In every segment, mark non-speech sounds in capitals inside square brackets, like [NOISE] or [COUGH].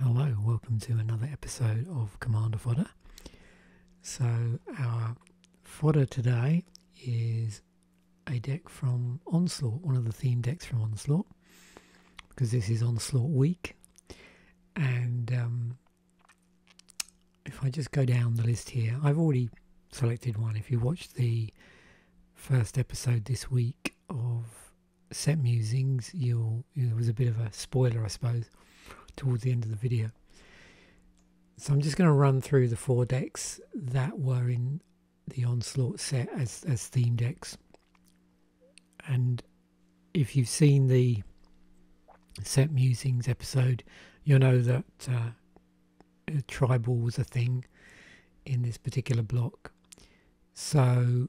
Hello, welcome to another episode of Commander Fodder. So, our fodder today is a deck from Onslaught, one of the theme decks from Onslaught, because this is Onslaught week. And um, if I just go down the list here, I've already selected one. If you watched the first episode this week of set musings, you'll, was a bit of a spoiler, I suppose, towards the end of the video. So I'm just going to run through the four decks that were in the Onslaught set as, as theme decks. And if you've seen the set musings episode, you'll know that uh, tribal was a thing in this particular block. So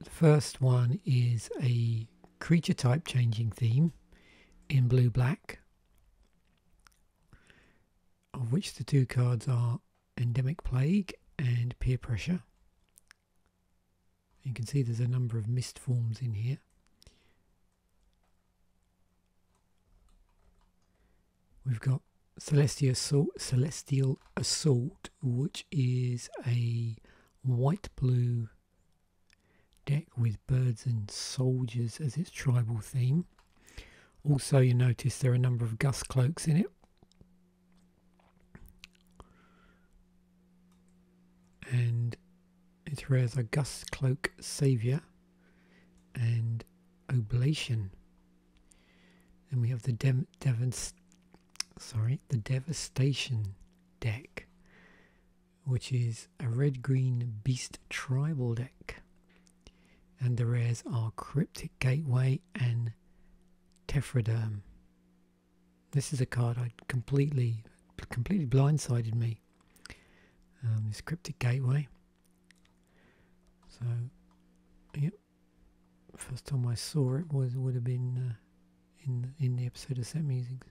the first one is a creature type changing theme in blue black, of which the two cards are Endemic Plague and Peer Pressure. You can see there's a number of mist forms in here. We've got Celestial Assault, which is a white blue deck with birds and soldiers as its tribal theme. Also, you notice there are a number of gust cloaks in it. And it's rare as a gust cloak savior and oblation and we have the Dem Devons, sorry, the Devastation deck, which is a red green beast tribal deck. And the rares are Cryptic Gateway and Tephroderm. This is a card I completely, completely blindsided me. Um, this Cryptic Gateway. So, yep, first time I saw it was would have been uh, in in the episode of Set Musings.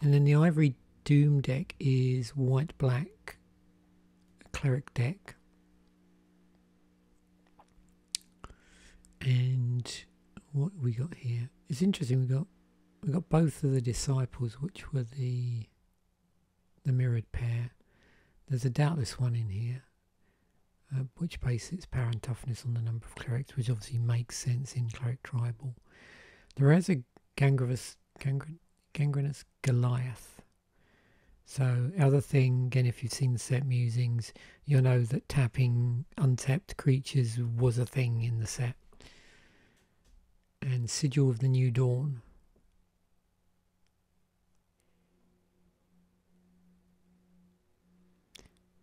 And then the Ivory Doom deck is white black cleric deck. And what we got here is interesting. We got we got both of the disciples, which were the the mirrored pair. There's a doubtless one in here, uh, which bases its power and toughness on the number of clerics, which obviously makes sense in cleric tribal. There is a gangrenous Goliath. So, other thing, again, if you've seen the set musings, you'll know that tapping untapped creatures was a thing in the set. And Sigil of the New Dawn.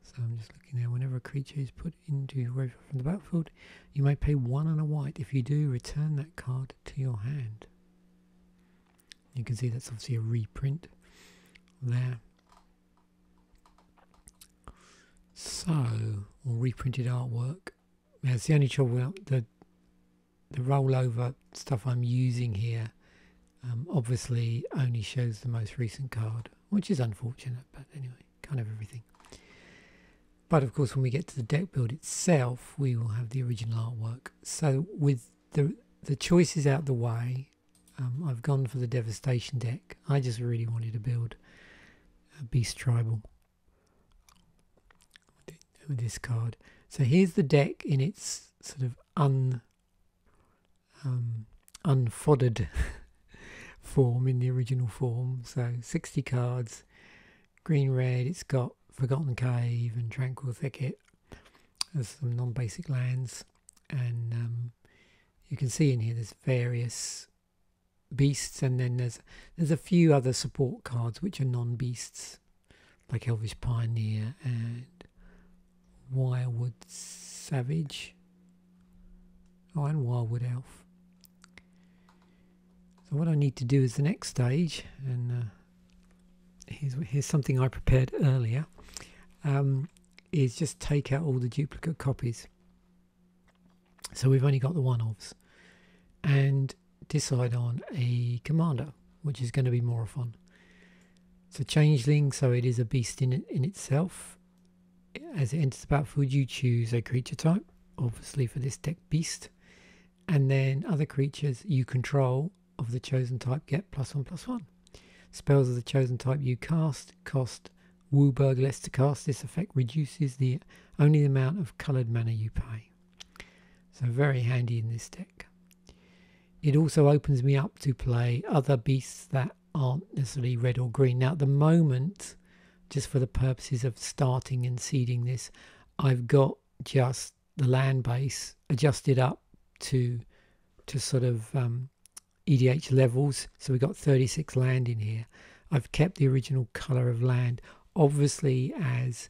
So I'm just looking there. Whenever a creature is put into your graveyard from the battlefield, you might pay one and a white. If you do, return that card to your hand. You can see that's obviously a reprint there. So, or reprinted artwork. That's the only trouble. that the rollover stuff I'm using here um, obviously only shows the most recent card, which is unfortunate, but anyway, kind of everything. But of course, when we get to the deck build itself, we will have the original artwork. So with the, the choices out the way, um, I've gone for the Devastation deck. I just really wanted to build a Beast Tribal with this card. So here's the deck in its sort of un um, unfoddered [LAUGHS] form in the original form. So 60 cards, green red, it's got Forgotten Cave and Tranquil Thicket There's some non basic lands. And um, you can see in here there's various beasts, and then there's there's a few other support cards which are non beasts like Elvis Pioneer and Wildwood Savage. Oh, and Wildwood Elf. So what I need to do is the next stage, and uh, here's, here's something I prepared earlier, um, is just take out all the duplicate copies. So we've only got the one-offs. And decide on a commander, which is going to be Morophon. It's a changeling, so it is a beast in, in itself. As it enters the battlefield, you choose a creature type, obviously for this deck beast, and then other creatures you control of the chosen type get plus one plus one. Spells of the chosen type you cast cost Wooburg less to cast. This effect reduces the only the amount of coloured mana you pay. So very handy in this deck. It also opens me up to play other beasts that aren't necessarily red or green. Now, at the moment, just for the purposes of starting and seeding this, I've got just the land base adjusted up to to sort of um, EDH levels. So we've got 36 land in here. I've kept the original color of land. Obviously, as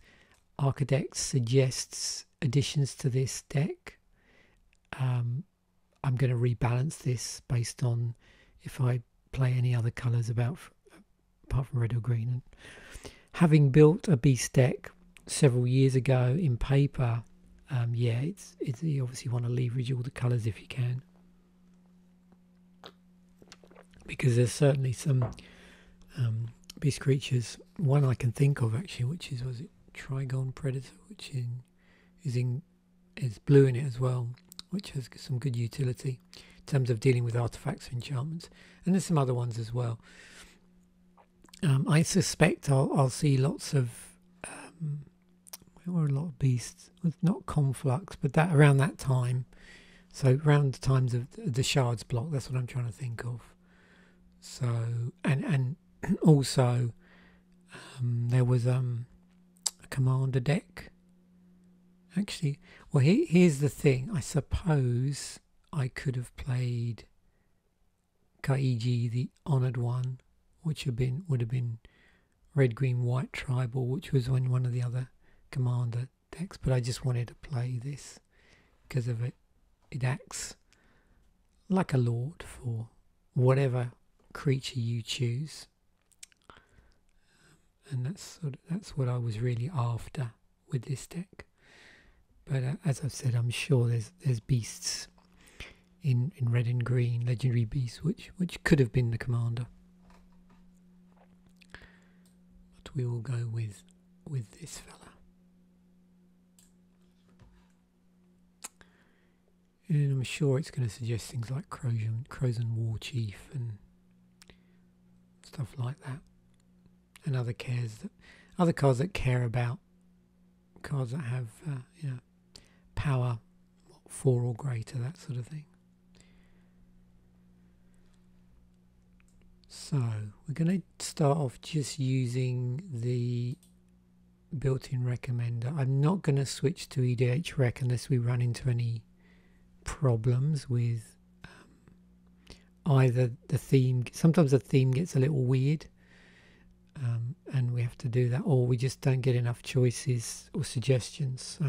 Architect suggests additions to this deck. Um, I'm going to rebalance this based on if I play any other colours about apart from red or green. having built a beast deck several years ago in paper, um, yeah, it's, it's you obviously want to leverage all the colours if you can because there's certainly some um, beast creatures one I can think of actually, which is was it Trigon Predator, which in, is in is blue in it as well, which has some good utility in terms of dealing with artifacts and enchantments, and there's some other ones as well. Um, I suspect I'll I'll see lots of um, a lot of beasts, not conflux, but that around that time. So around the times of the shards block, that's what I'm trying to think of. So and and [CLEARS THROAT] also um, there was um, a commander deck. Actually, well, here's the thing. I suppose I could have played Kaiji, the honored one, which would have been red, green, white tribal, which was one of the other commander decks. But I just wanted to play this because of it it acts like a lord for whatever creature you choose and that's that's what I was really after with this deck but uh, as I've said I'm sure there's there's beasts in in red and green legendary beasts which which could have been the commander but we will go with with this fella and I'm sure it's going to suggest things like Crozian, Crozian War Chief and stuff like that. And other cares that, other cars that care about cars that have uh, you know power four or greater, that sort of thing. So we're going to start off just using the built-in recommender. I'm not going to switch to EDH Rec unless we run into any problems with um, either the theme. Sometimes the theme gets a little weird um, and we have to do that or we just don't get enough choices or suggestions.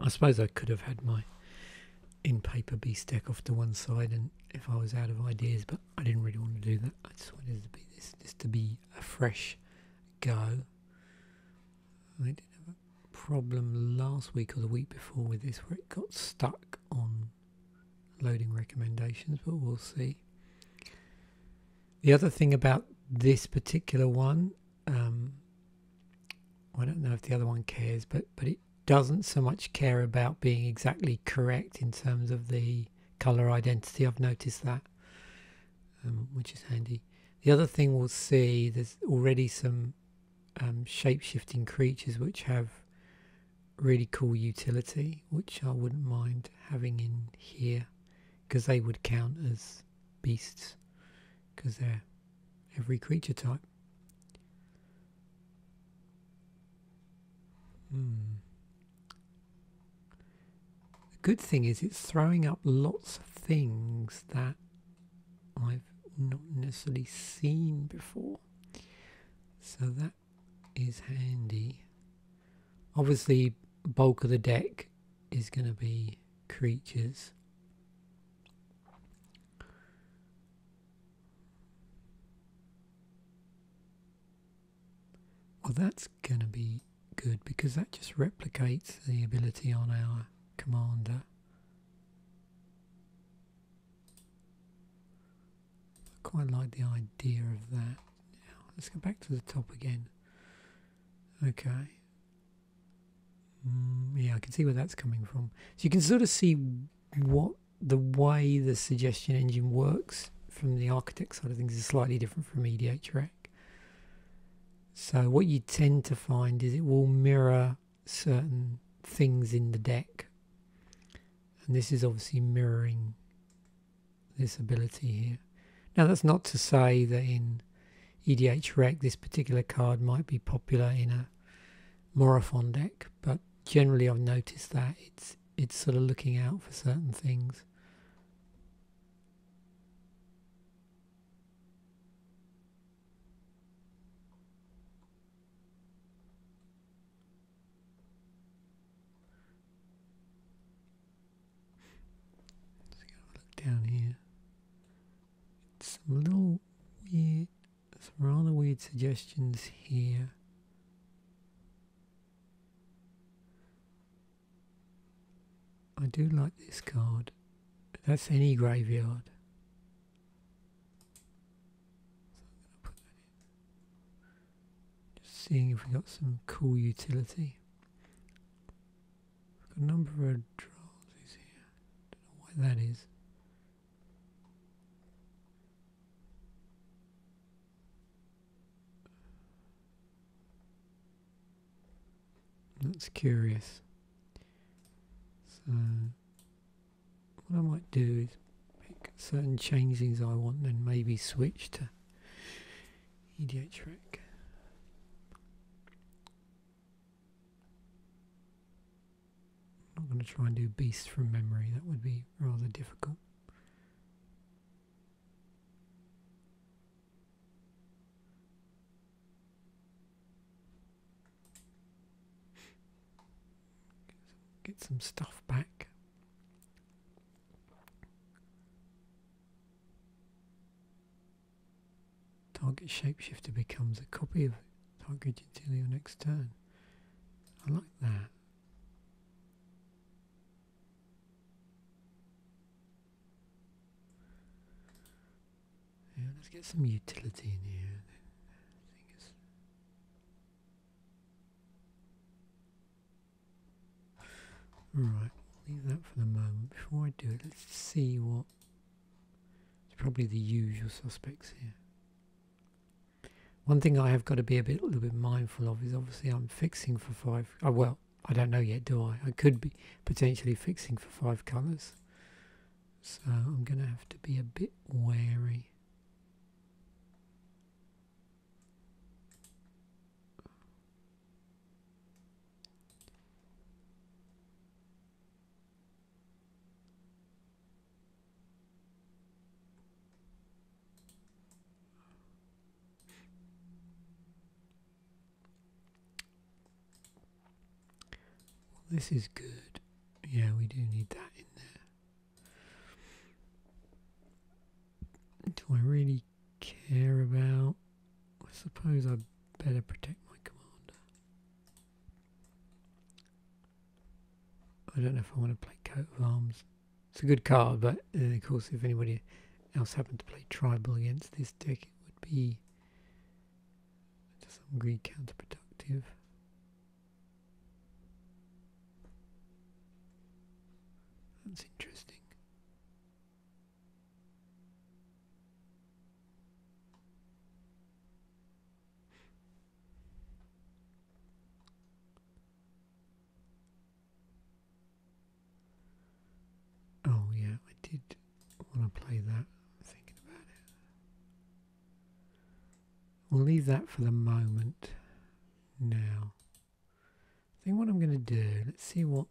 I suppose I could have had my in paper B stack off to one side and if I was out of ideas but I didn't really want to do that I just wanted to be this just to be a fresh go I did have a problem last week or the week before with this where it got stuck on loading recommendations but we'll see the other thing about this particular one, um, I don't know if the other one cares, but but it doesn't so much care about being exactly correct in terms of the color identity. I've noticed that, um, which is handy. The other thing we'll see, there's already some um, shape-shifting creatures which have really cool utility, which I wouldn't mind having in here because they would count as beasts because they're every creature type. Hmm. The good thing is it's throwing up lots of things that I've not necessarily seen before. So that is handy. Obviously, bulk of the deck is going to be creatures. Well, that's going to be good because that just replicates the ability on our commander. I quite like the idea of that. let's go back to the top again. Okay. Mm, yeah, I can see where that's coming from. So you can sort of see what the way the suggestion engine works from the architect side of things is slightly different from EDH Rec. So what you tend to find is it will mirror certain things in the deck. And this is obviously mirroring this ability here. Now that's not to say that in EDH Rec this particular card might be popular in a Morophon deck, but generally I've noticed that it's it's sort of looking out for certain things. Let's go look down here. Some little weird, some rather weird suggestions here. I do like this card. That's any graveyard. Just seeing if we got some cool utility got a number of draws drawings here. Don't know why that is. That's curious. So what I might do is make certain changes I want, then maybe switch to EDH I'm not going to try and do beasts from memory, that would be rather difficult. Get some stuff back. Target shapeshifter becomes a copy of target until your next turn. I like that. Yeah, let's get some utility in here. Alright, leave that for the moment. Before I do it, let's see what. It's probably the usual suspects here. One thing I have got to be a bit, little bit mindful of is obviously I'm fixing for five. Oh, well, I don't know yet, do I? I could be potentially fixing for five colours. So I'm going to have to be a bit wary this is good. Yeah, we do need that in there. Do I really care about. I suppose I better protect my commander. I don't know if I want to play coat of arms. It's a good card, but uh, of course, if anybody else happened to play tribal against this deck, it would be to some degree counterproductive. That's interesting. Oh, yeah, I did want to play that. I'm thinking about it. We'll leave that for the moment now. I think what I'm going to do, let's see what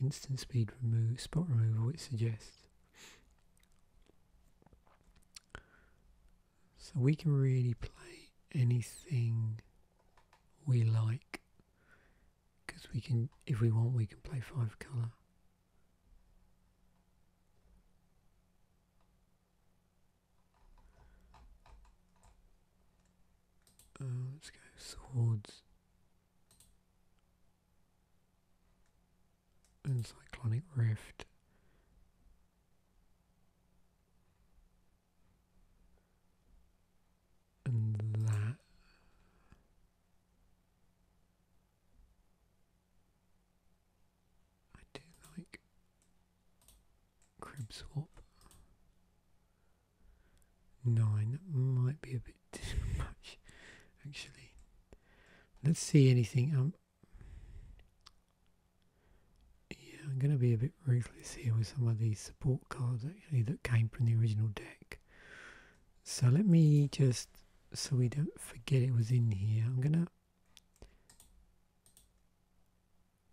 instant speed remove, spot removal it suggests. So we can really play anything we like because we can, if we want, we can play five colour let's oh, go swords and cyclonic rift. And that. I do like crib swap nine. That might be a bit [LAUGHS] too much, actually. Let's see anything. Um, yeah, I'm going to be a bit ruthless here with some of these support cards actually that came from the original deck. So let me just, so we don't forget it was in here, I'm going to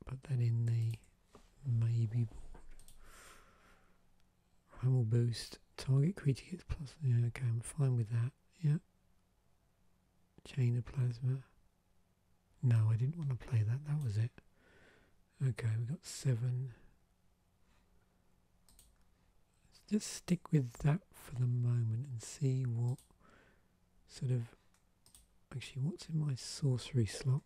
put that in the maybe board. Primal boost. Target creature gets plus. Yeah, okay, I'm fine with that. Yeah. Chain of plasma. No, I didn't want to play that. That was it. Okay, we got 7 just stick with that for the moment and see what sort of. Actually, what's in my sorcery slot?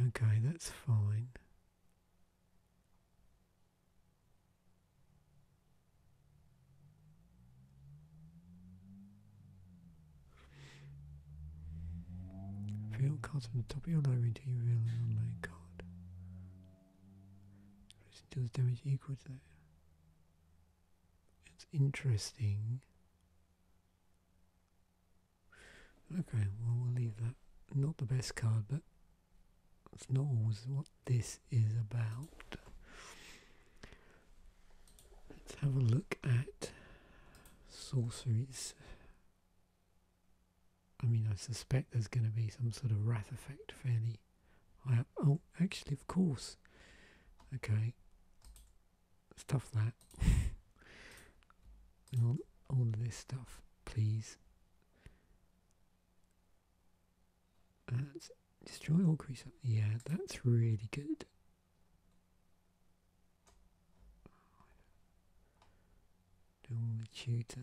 Okay, that's fine. Feel cards on the top of your lower until you reveal an unknown card. Listen damage equal that. It's interesting. Okay, well we'll leave that. Not the best card, but it's not always what this is about. Let's have a look at sorceries. I mean, I suspect there's going to be some sort of wrath effect fairly high Oh, actually, of course. Okay stuff that. all, [LAUGHS] all of this stuff, please. That's destroy all creature. Yeah, that's really good. Dual tutor.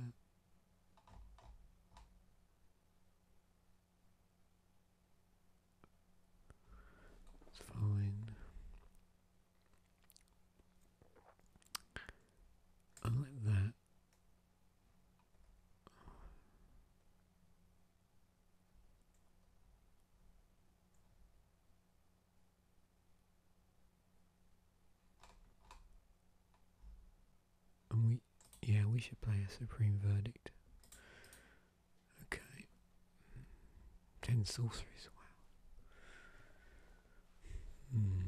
It's fine. I like that. And we, yeah, we should play a Supreme Verdict. Okay. Ten sorcerers. wow. Hmm.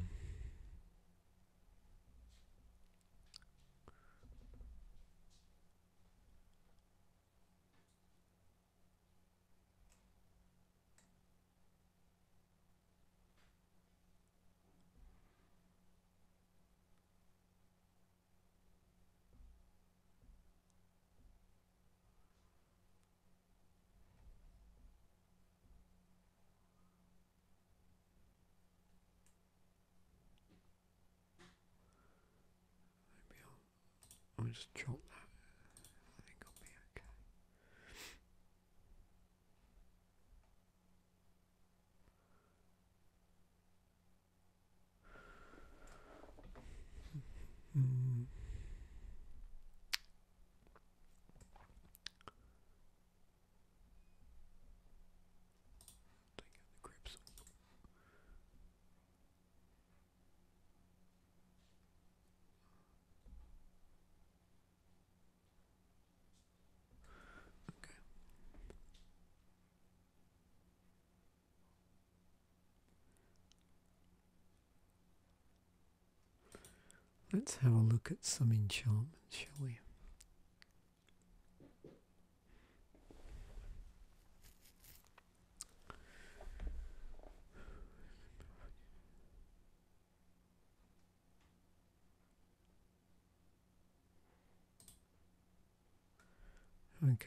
I'll, just chop that. I think I'll be okay. Mm. Take the grips. Okay. Let's have a look at some enchantments, shall we? Okay.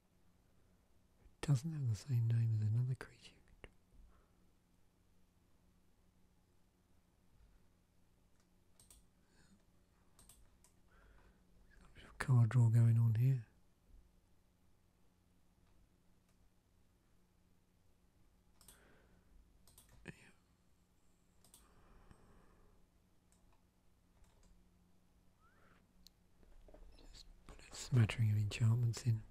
It doesn't have the same name as another creature. card draw going on here. Just put a smattering of enchantments in.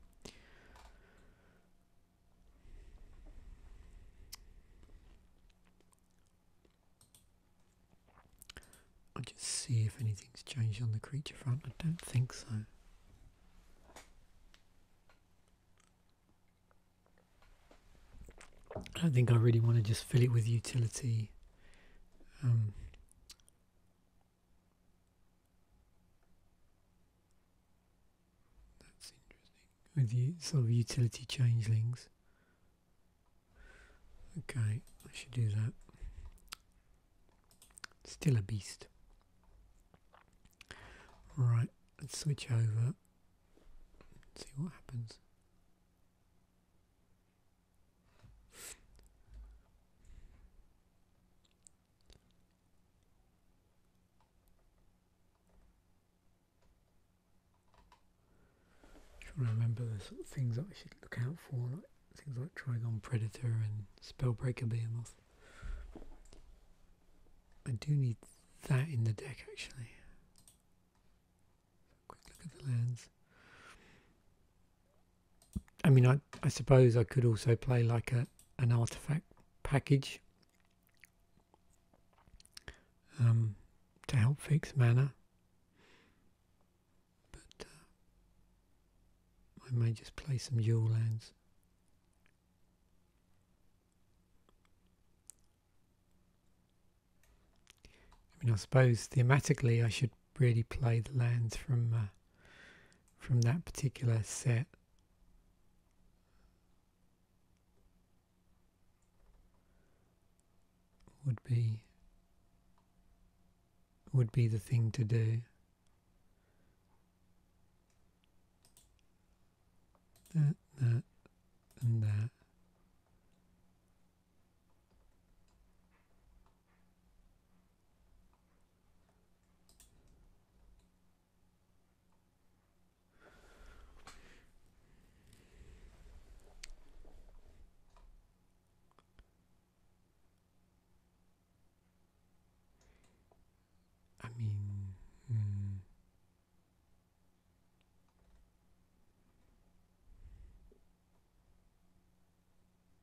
I'll just see if anything's changed on the creature front. I don't think so. I don't think I really want to just fill it with utility um, that's interesting. With you, sort of utility changelings. Okay, I should do that. Still a beast. Right, let's switch over. see what happens. Trying to remember the sort of things I should look out for, things like Trigon Predator and Spellbreaker Behemoth. I do need that in the deck actually. quick look at the lands. I mean, I, I suppose I could also play like a an artifact package um, to help fix mana. But uh, I may just play some dual lands. I mean, I suppose thematically I should really play the lands from uh, from that particular set. Would be would be the thing to do. That, that, and that. I mean, hmm.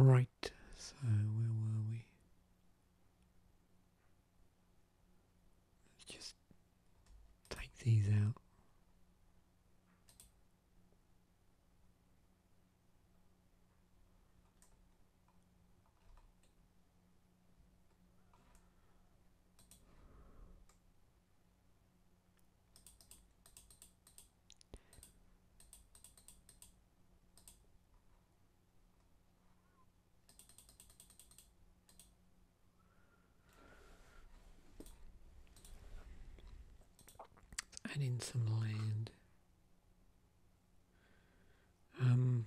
Right, so where were we? Let's just take these out. Let's add in some land. Um,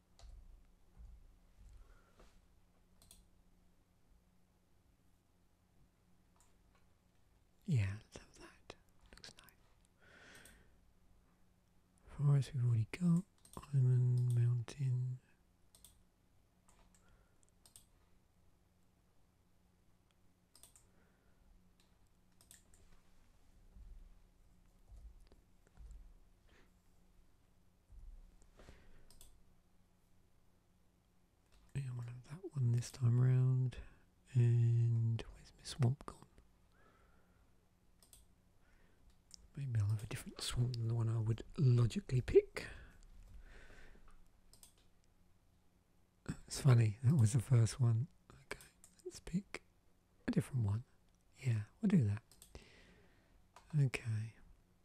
Yeah, love that. Looks nice. Forest we've already got. Island, mountain. Yeah, I want have that one this time round. And where's Miss swamp gone? Maybe I'll have a different swamp than the one I would logically pick. It's funny, that was the first one. Okay, let's pick a different one. Yeah, we'll do that. Okay.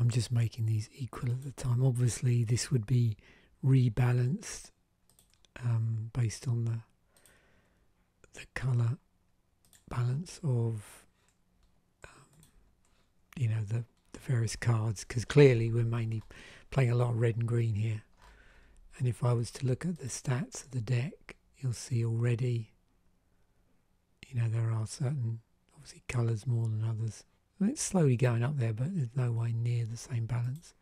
I'm just making these equal at the time. Obviously, this would be rebalanced um, based on the the color balance of um, you know the, the various cards because clearly we're mainly playing a lot of red and green here and if I was to look at the stats of the deck you'll see already you know, there are certain, obviously, colours more than others. it's slowly going up there, but there's no way near the same balance.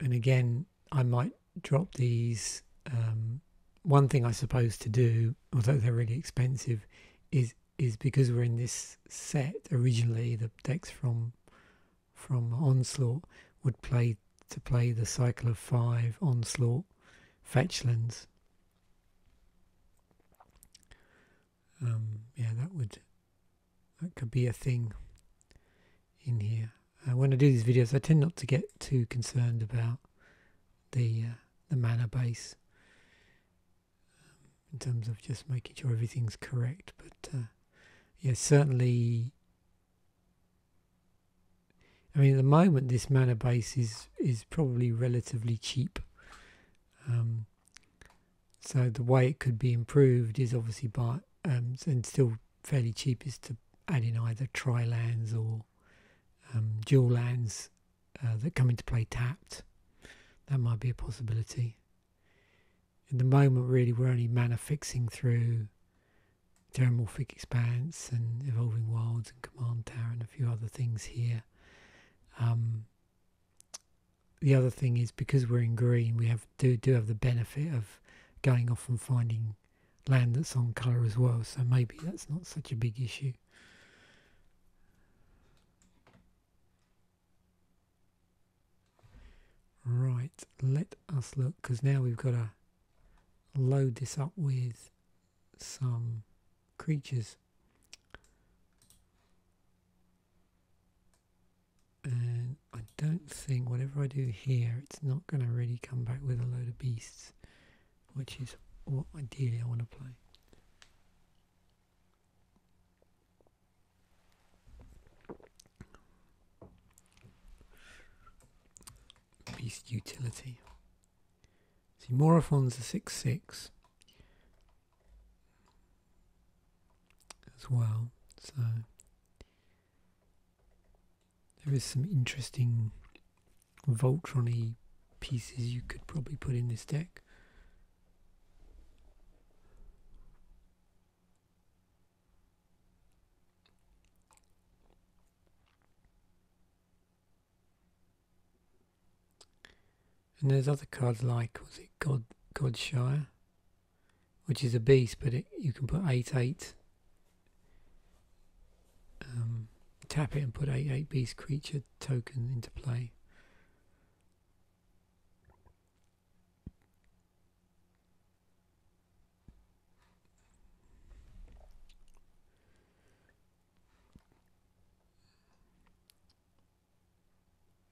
And again, I might drop these. Um, one thing I suppose to do, although they're really expensive, is is because we're in this set originally. The decks from from Onslaught would play to play the cycle of five Onslaught fetchlands. Um, yeah, that would that could be a thing in here. Uh, when I do these videos, I tend not to get too concerned about the uh, the mana base in terms of just making sure everything's correct. But uh, yeah, certainly. I mean, at the moment, this mana base is is probably relatively cheap. Um, so the way it could be improved is obviously by um, and still fairly cheap is to add in either tri lands or um, dual lands uh, that come into play tapped. That might be a possibility in the moment, really, we're only fixing through Terramorphic Expanse and Evolving Wilds and Command Tower and a few other things here. Um, the other thing is because we're in green, we have do do have the benefit of going off and finding land that's on colour as well. So maybe that's not such a big issue. Right, let us look, because now we've got to load this up with some creatures. And I don't think, whatever I do here, it's not going to really come back with a load of beasts, which is what ideally I want to play. Beast utility. See, Morophon's a 6 6 as well, so there is some interesting Voltron pieces you could probably put in this deck. And there's other cards like was it God Godshire, which is a beast, but you can put eight eight. Um, tap it and put eight eight beast creature token into play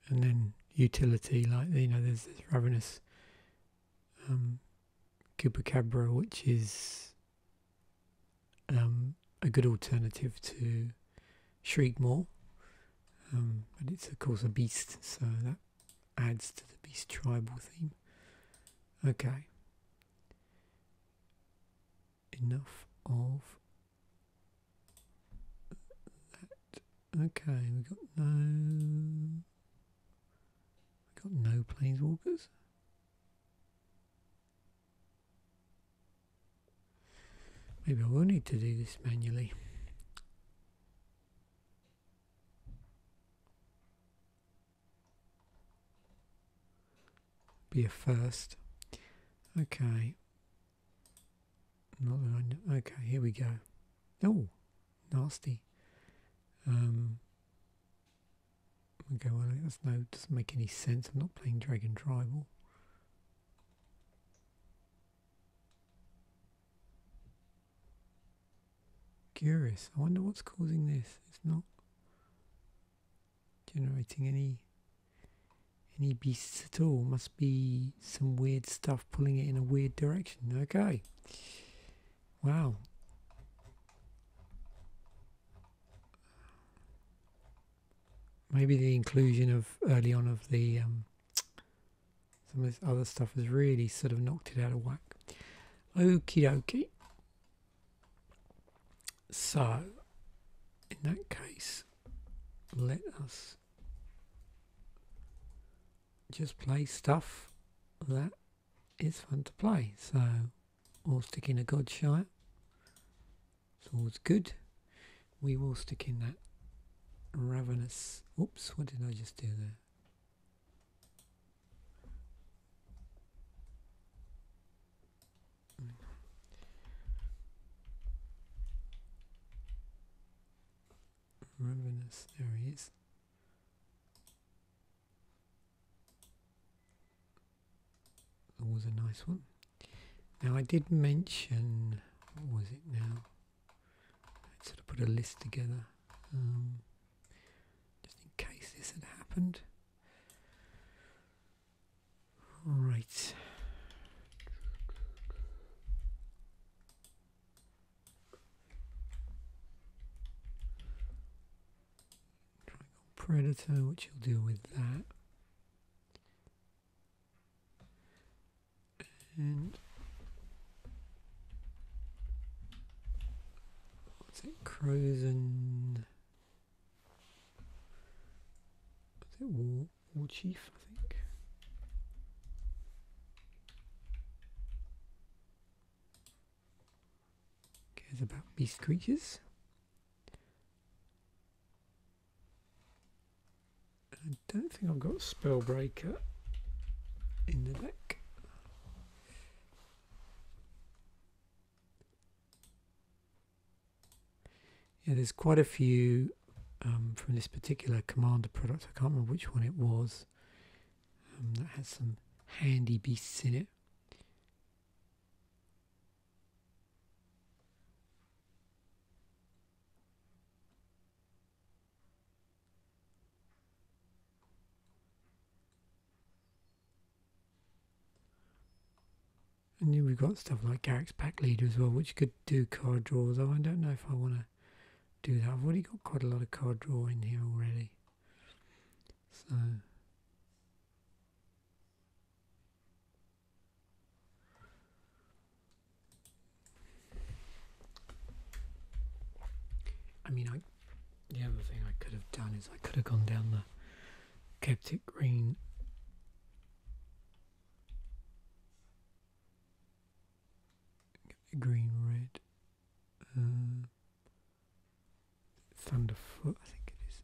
and then utility like you know there's this ravenous um Cabra, which is um, a good alternative to shriek more. but um, it's of course a beast, so that adds to the beast tribal theme. Okay. Enough of that. Okay, we have got no. We got no planeswalkers. Maybe I will need to do this manually. Be a first. Okay. Not that I know. Okay, here we go. Oh, nasty. Um, okay, well, that's no, doesn't make any sense. I'm not playing Dragon Tribal. Curious. I wonder what's causing this. It's not generating any any beasts at all. Must be some weird stuff pulling it in a weird direction. Okay. Wow. Maybe the inclusion of early on of the um, some of this other stuff has really sort of knocked it out of whack. Okie dokie. So, in that case, let us just play stuff that is fun to play. So, all sticking a god Godshire. It's always good we will stick in that ravenous. Oops, what did I just do there? Ravenous, there he is. That was a nice one. Now I did mention, what was it now? I'd sort of put a list together um, just in case this had happened. Right. Triangle Predator, which will deal with that. And what's it? Crows and what's it? War, War Chief, I think. Cares about beast creatures. I don't think I've got Spellbreaker in the deck. Yeah, there's quite a few um, from this particular Commander product. I can't remember which one it was. Um, that has some handy beasts in it. And we've got stuff like Garrick's Pack leader as well, which could do card draw, though I don't know if I want to do that. I've already got quite a lot of card draw in here already. So I mean, the other thing I could have done is I could have gone down the Celtic green green red uh, thunderfoot I think it is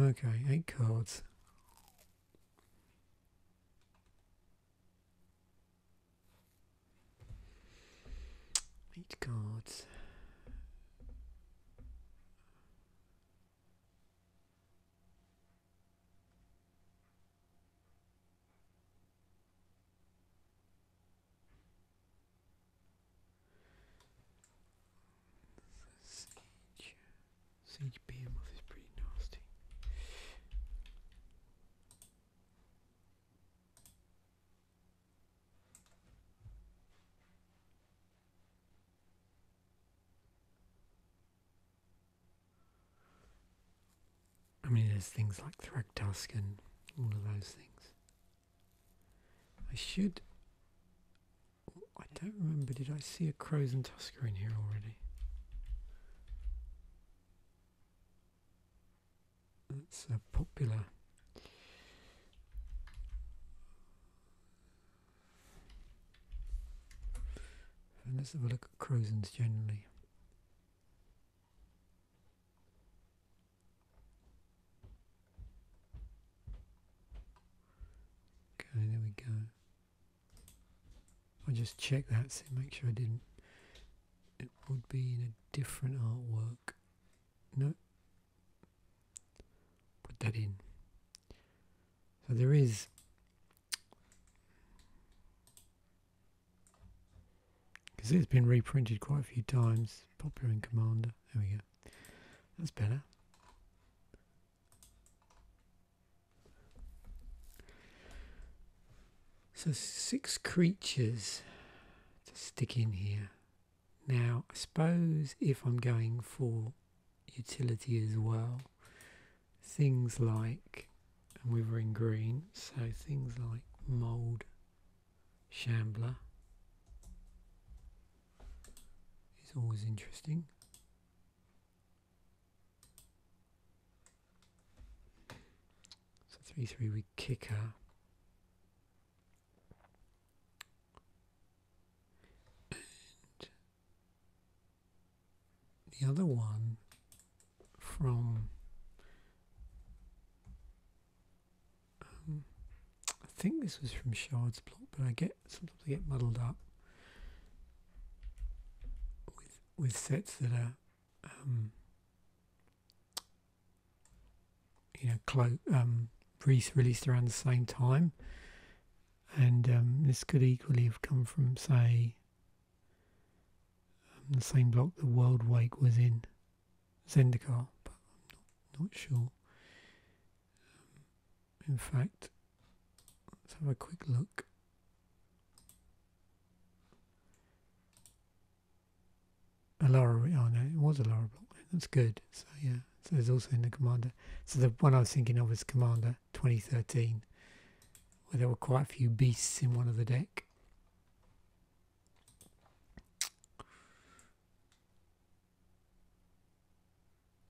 Okay, eight cards. Eight cards. Siege, Siege Behemoth is pretty nasty. I mean, there's things like tusk and all of those things. I should. I don't remember. Did I see a Crows and Tusker in here already? That's a popular. And let's have a look at and generally. Okay, there we go. I'll just check that, so make sure I didn't. It would be in a different artwork. No. Put that in. So there is because it's been reprinted quite a few times. Popular in Commander. There we go. That's better. So six creatures to stick in here. Now, I suppose if I'm going for utility as well, things like, and we were in green, so things like mold Shambler is always interesting. So 3 3 we kicker. And the other one from um, I think this was from Shard's block, but I get sometimes I get muddled up with with sets that are um, you know clo- um, released around the same time, and um, this could equally have come from say the same block the World Wake was in. Zendikar, but not, sure. Um, in fact, let's have a quick look. Alara, oh no, it was Alara block. That's good. So yeah, so there's also in the Commander. So the one I was thinking of was Commander 2013, where there were quite a few beasts in one of the deck.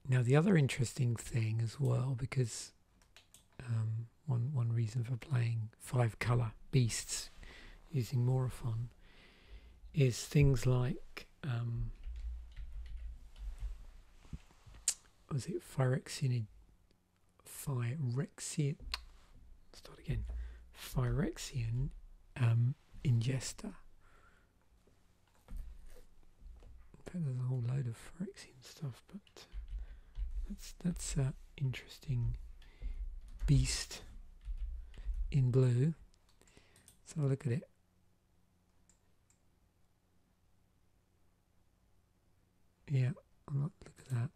Now, the other interesting thing as well, because um, one, one reason for playing five color beasts using Morophon is things like um, was it Phyrexianid Phy Phyrexian. Start again. Phyrexian um, ingester. In fact, there's a whole load of Firexian stuff, but that's that's an interesting beast in blue. So look at it. Yeah, look at that.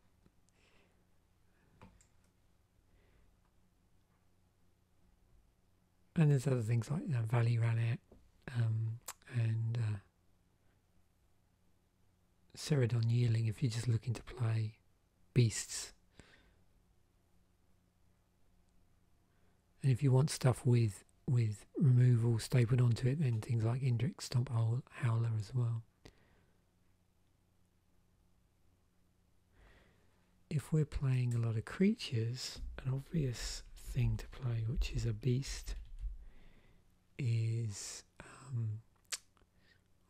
And there's other things like you Valley Raleigh um, and uh, Ceridon if you're just looking to play beasts. And if you want stuff with with removal stapled onto it, then things like Indric Stomp Howler as well. If we're playing a lot of creatures, an obvious thing to play, which is a beast, is um,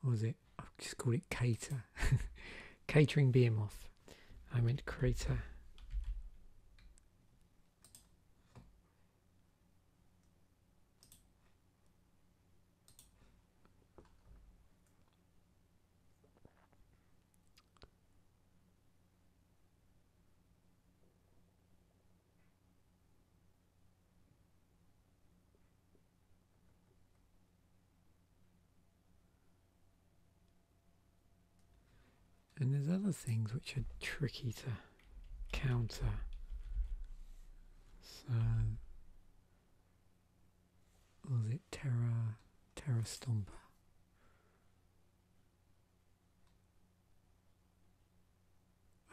what was it? I've just called it cater, [LAUGHS] catering behemoth. I meant crater. And there's other things which are tricky to counter. So was it Terra Terra Stomper?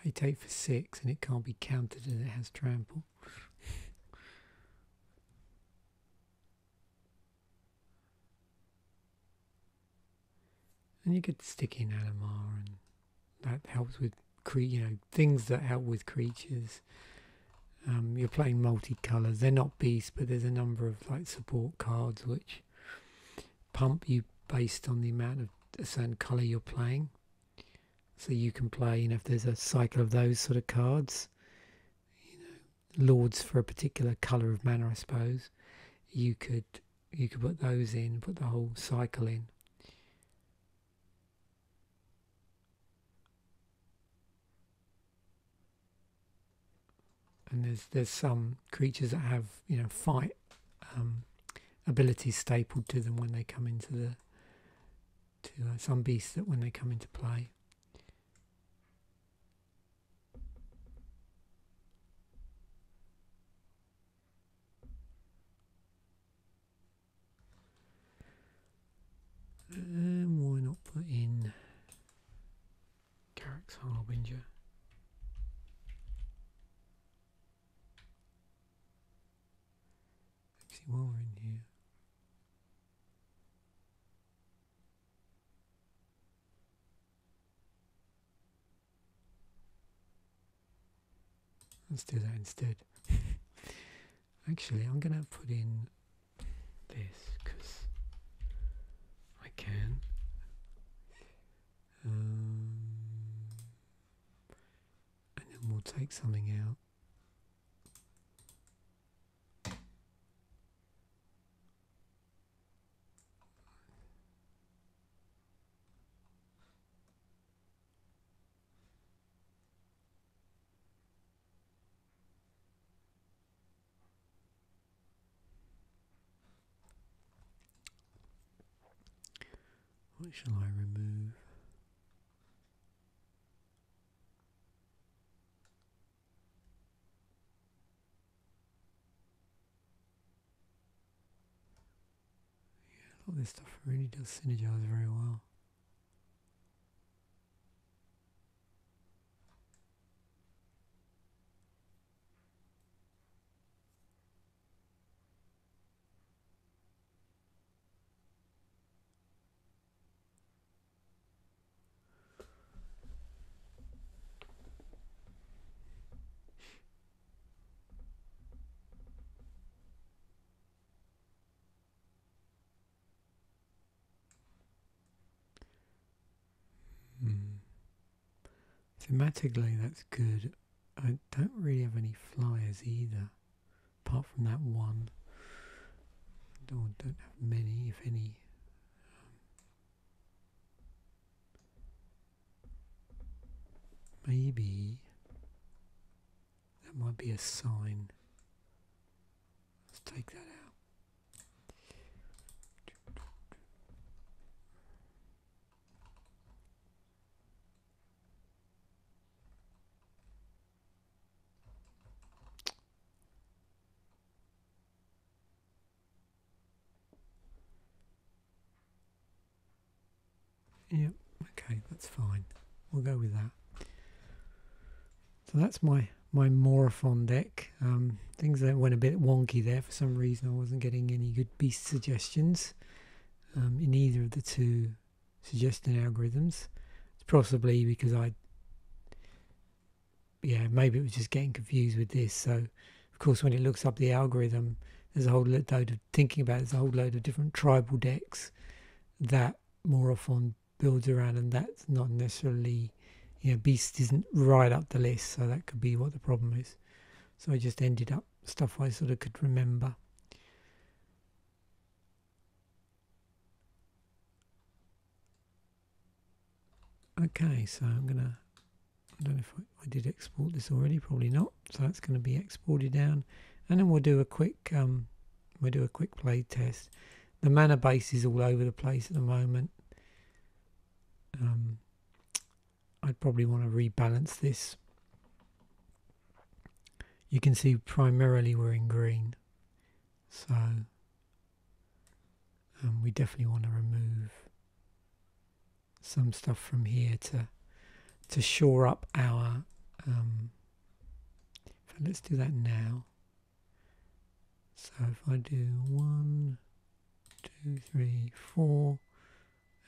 Eight eight for six, and it can't be counted as it has trample. [LAUGHS] and you get stick animal. and that helps with cre- you know things that help with creatures. Um, you're playing multicolors. They're not beasts, but there's a number of like support cards which pump you based on the amount of a certain color you're playing. So you can play, you know, if there's a cycle of those sort of cards, you know, lords for a particular color of manner, I suppose. You could you could put those in, put the whole cycle in and there's there's some creatures that have you know fight um, abilities stapled to them when they come into the to uh, some beasts that when they come into play. Um, why not put in Carrick's Harbinger? Actually, while we here. Let's do that instead. [LAUGHS] Actually, I'm going to put in this because I can. Um, and then we'll take something out. What shall I remove? Yeah, all this stuff really does synergize very well. Hmm. Thematically, that's good. I don't really have any flyers either, apart from that one. Don't, oh, don't have many, if any. maybe that might be a sign. Let's take that out. Yeah, okay, that's fine. We'll go with that. So that's my my Morophon deck. Um, things that went a bit wonky there for some reason. I wasn't getting any good beast suggestions um, in either of the two suggesting algorithms. It's possibly because I, yeah, maybe it was just getting confused with this. So, of course, when it looks up the algorithm, there's a whole load of thinking about there's a whole load of different tribal decks that Morphon builds around, and that's not necessarily, you know, Beast isn't right up the list, so that could be what the problem is. So I just ended up stuff I sort of could remember. Okay, so I'm gonna, I don't know if I, did export this already, probably not. So that's gonna be exported down. And then we'll do a quick um, We'll do a quick play test. The mana base is all over the place at the moment. Um, I'd probably want to rebalance this. You can see primarily we're in green. So um, we definitely want to remove some stuff from here to to shore up our um, and let's do that now. So if I do one, two, three, four,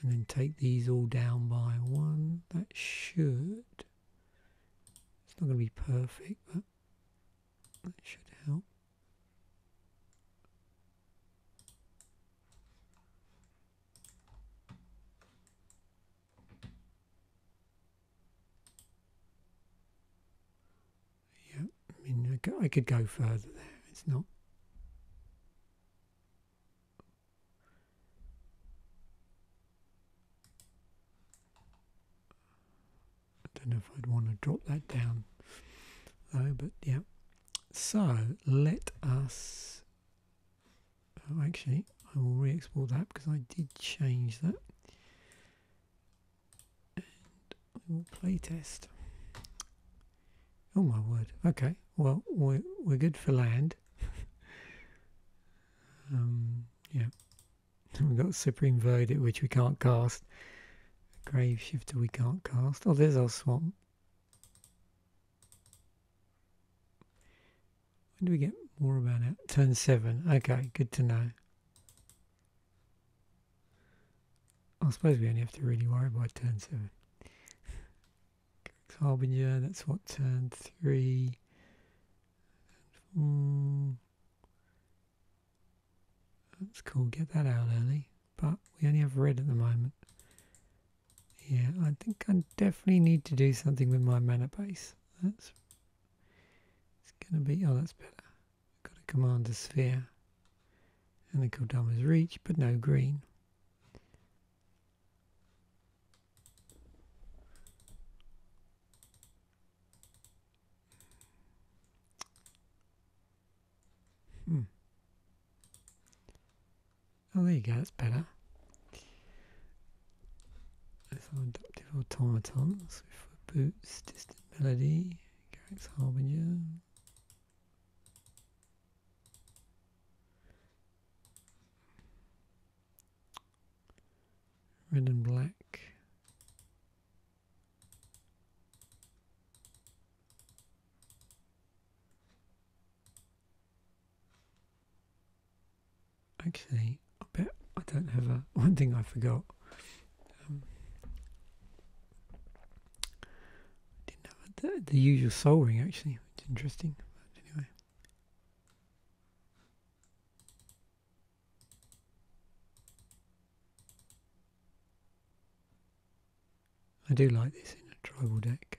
and then take these all down by one, that should, it's not going to be perfect, but it should help. Yeah, I mean, I could go further there. It's not. I don't know if I'd want to drop that down though, but yeah. So let us Oh, actually, I will re-export that because I did change that. And I will playtest. Oh my word. Okay, well, we're, we're good for land. [LAUGHS] um, yeah. [LAUGHS] We've got Supreme Verdict, which we can't cast. Grave Shifter, we can't cast. Oh, there's our swamp. When do we get more about it? Turn seven. Okay, good to know. I suppose we only have to really worry about turn seven. Harbinger, that's what turn three. That's cool, get that out early. But we only have red at the moment. Yeah, I think I definitely need to do something with my mana base that's it's gonna be oh that's better. Got a commander sphere and the Kodama's reach, but no green. Hmm. Oh, there you go, that's better. There's adoptive adaptive automaton, so for boots, distant melody, Garrick's Harbinger. Red and black actually, I bet I don't have a [LAUGHS] one thing I forgot. Um, didn't have the, the usual soul ring actually, it's interesting. But anyway, I do like this in a tribal deck.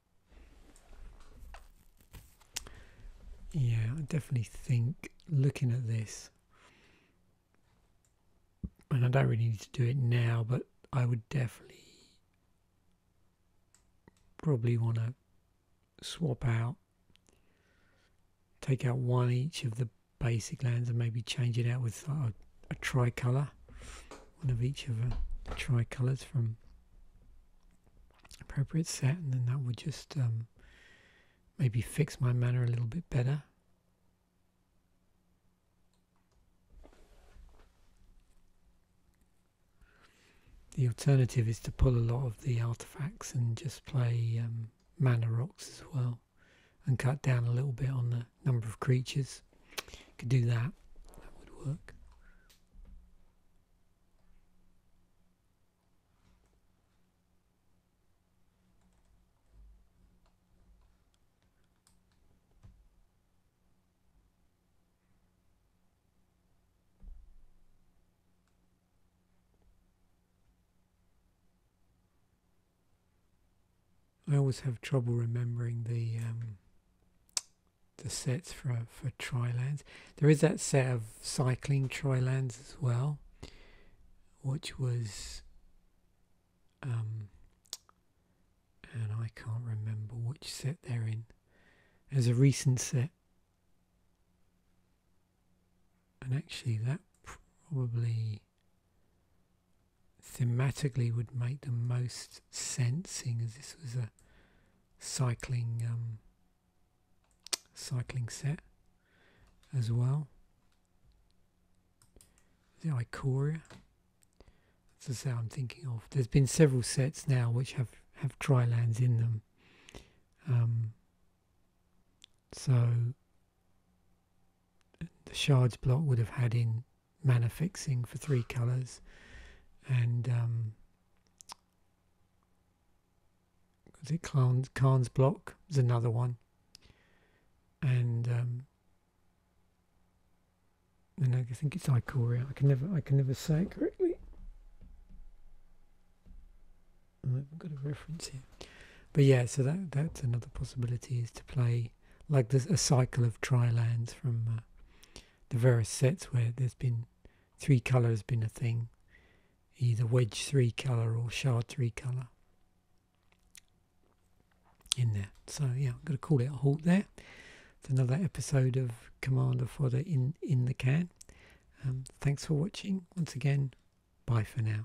Yeah, I definitely think looking at this, and I don't really need to do it now, but I would definitely probably want to swap out, take out one each of the basic lands and maybe change it out with a, a tricolour, one of each of the tricolours from appropriate set and then that would just um, maybe fix my mana a little bit better. The alternative is to pull a lot of the artifacts and just play um, mana rocks as well and cut down a little bit on the number of creatures. Could do that, that would work. I always have trouble remembering the um, the sets for for trilands. There is that set of cycling trilands as well, which was um, and I can't remember which set they're in. There's a recent set, and actually that probably thematically would make the most Sensing as this was a cycling um, cycling set as well. The Icoria. That's the set I'm thinking of. There's been several sets now which have have tri lands in them. Um, so the shards block would have had in mana fixing for three colors and um, was it Khan's, block Is another one and and um, I think it's Icoria. I can never I can never say it correctly I have got a reference here but yeah so that that's another possibility is to play like there's a cycle of tri lands from uh, the various sets where there's been three colours been a thing, either wedge three color or shard three color in there. So yeah, I'm going to call it a halt there. It's another episode of Commander Fodder in in the can. Um, thanks for watching once again. Bye for now.